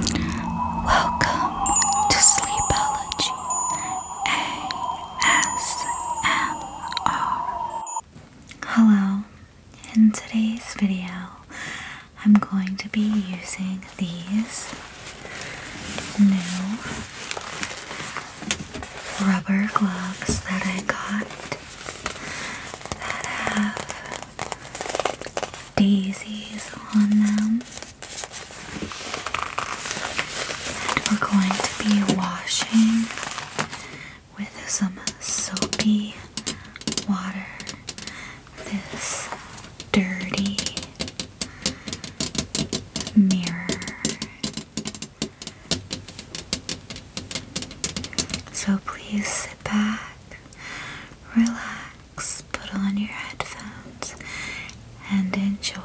Welcome to Sleepology ASMR. Hello, in today's video, I'm going to be using these new rubber gloves that I got that have daisies on them. And we're going to be washing with some soapy water this dirty mirror. So please sit back, relax put on your headphones, and enjoy.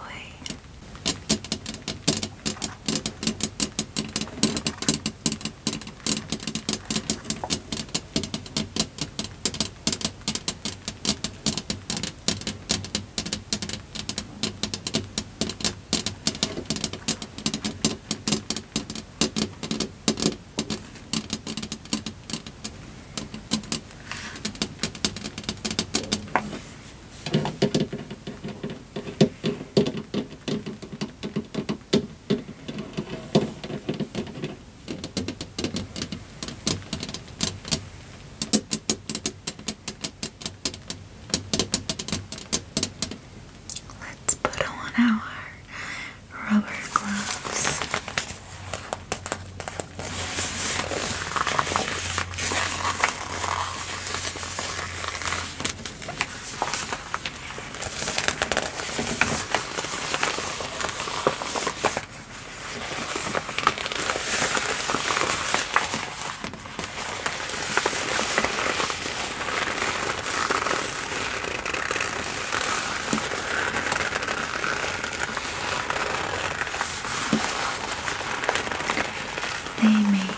Let's put on our rubber gloves. They make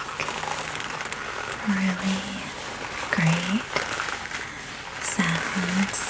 really great sounds.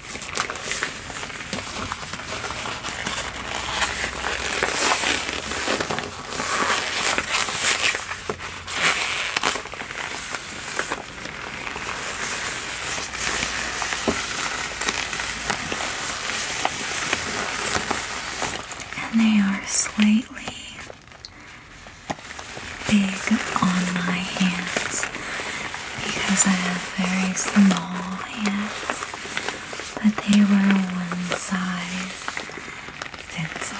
And they are slightly big on my hands because I have very small hands, but they were one size fits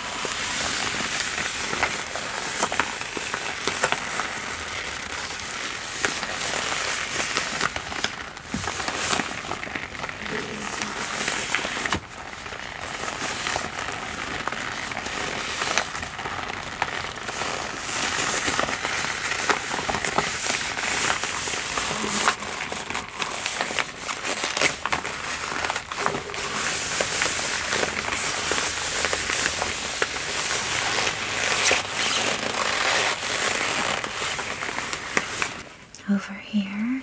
over here,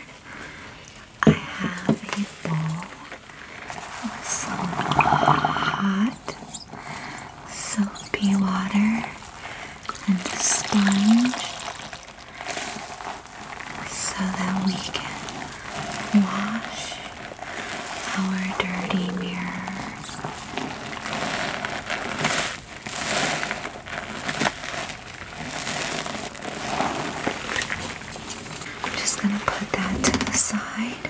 I have a bowl with some hot soapy water and a sponge so that we can wash our dirty mirrors. I'm just going to put that to the side.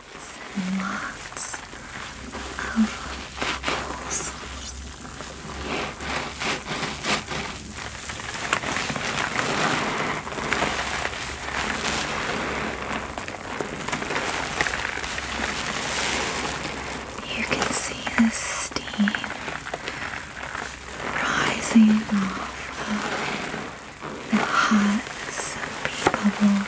lots and of bubbles. You can see the steam rising off of with hot soapy bubbles.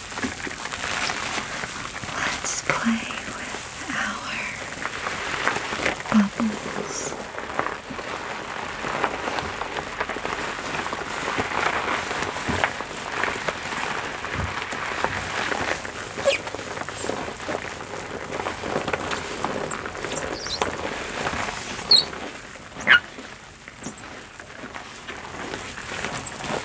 Let's play with our bubbles.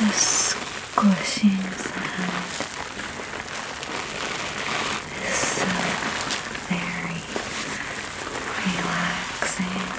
The squishing sound is so very relaxing. Relaxing.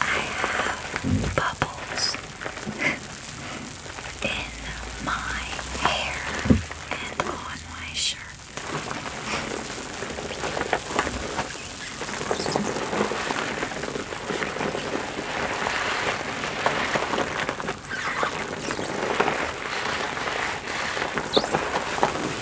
have bubbles in my hair and on my shirt.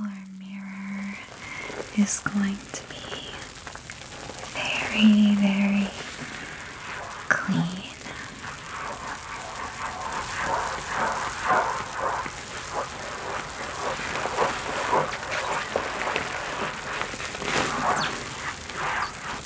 Our mirror is going to be very, very clean.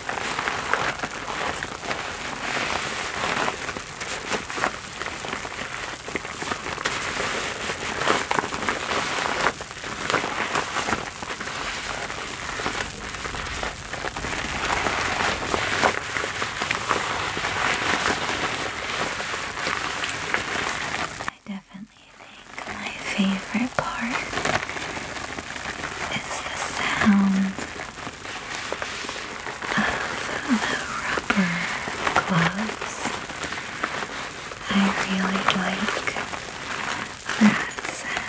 I definitely think my favorite part is the sound of the rubber gloves. I really like that sound.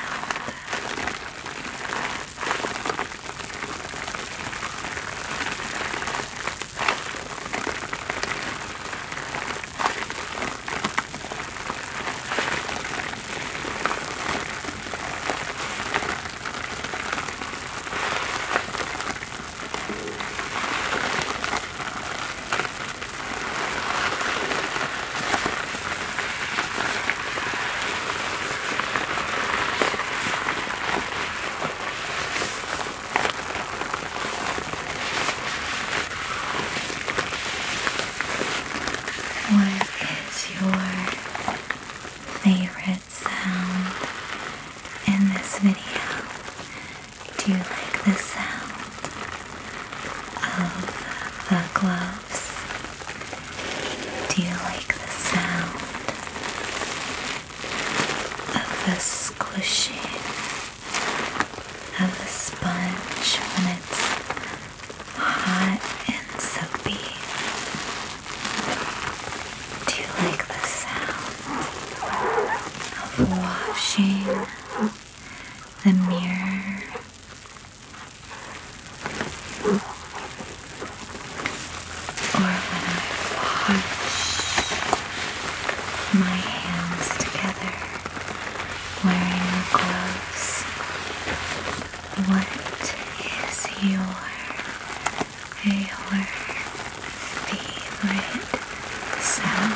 What is your favorite sound in this video. Do you like the sound of the gloves? Do you like the sound of the squishing of the sponge when it's hot and soapy. Do you like the sound of washing the mirror? Or when I wash my hands together wearing gloves? What is your your favorite sound?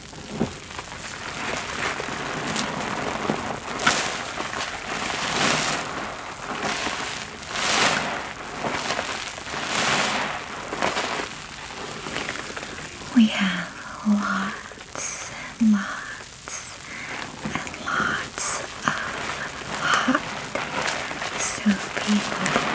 We have lots and lots and lots of hot soapy bubbles.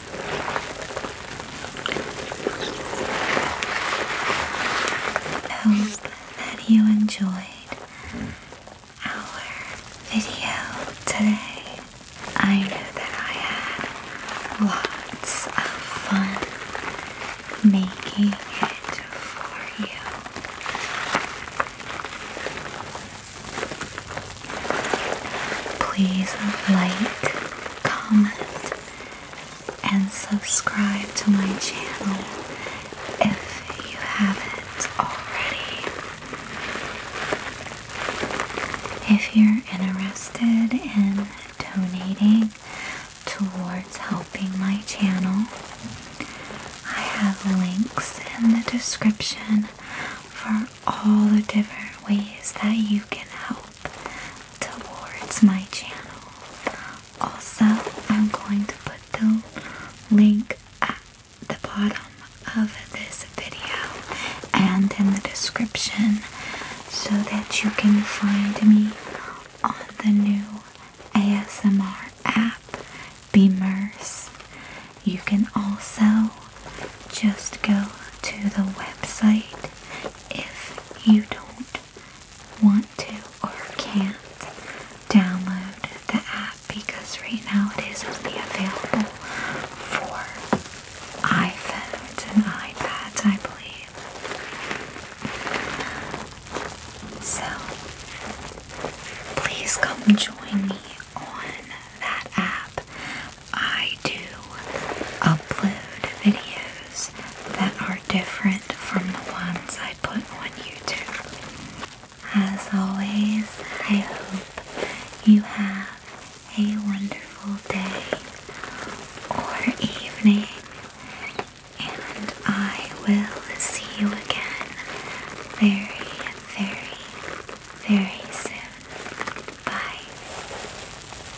Hope that you enjoyed our video today. I know that I had lots of fun making it for you. Please like, comment, and subscribe to my channel if you haven't already. If you're interested in donating towards helping my channel, I have links in the description for all the different ways that you can help towards my channel. Also, I'm going to put the link at the bottom of this video and in the description so that you can find me on the new ASMR app, Beamers. You can also just go to the website if you don't want to or can't download the app because right now it is only available for iPhones and iPads, I believe. So please come join me on that app. I do upload videos that are different from the ones I put on YouTube. As always, I hope you have a wonderful day or evening, and I will see you again very, very, very soon. Bye.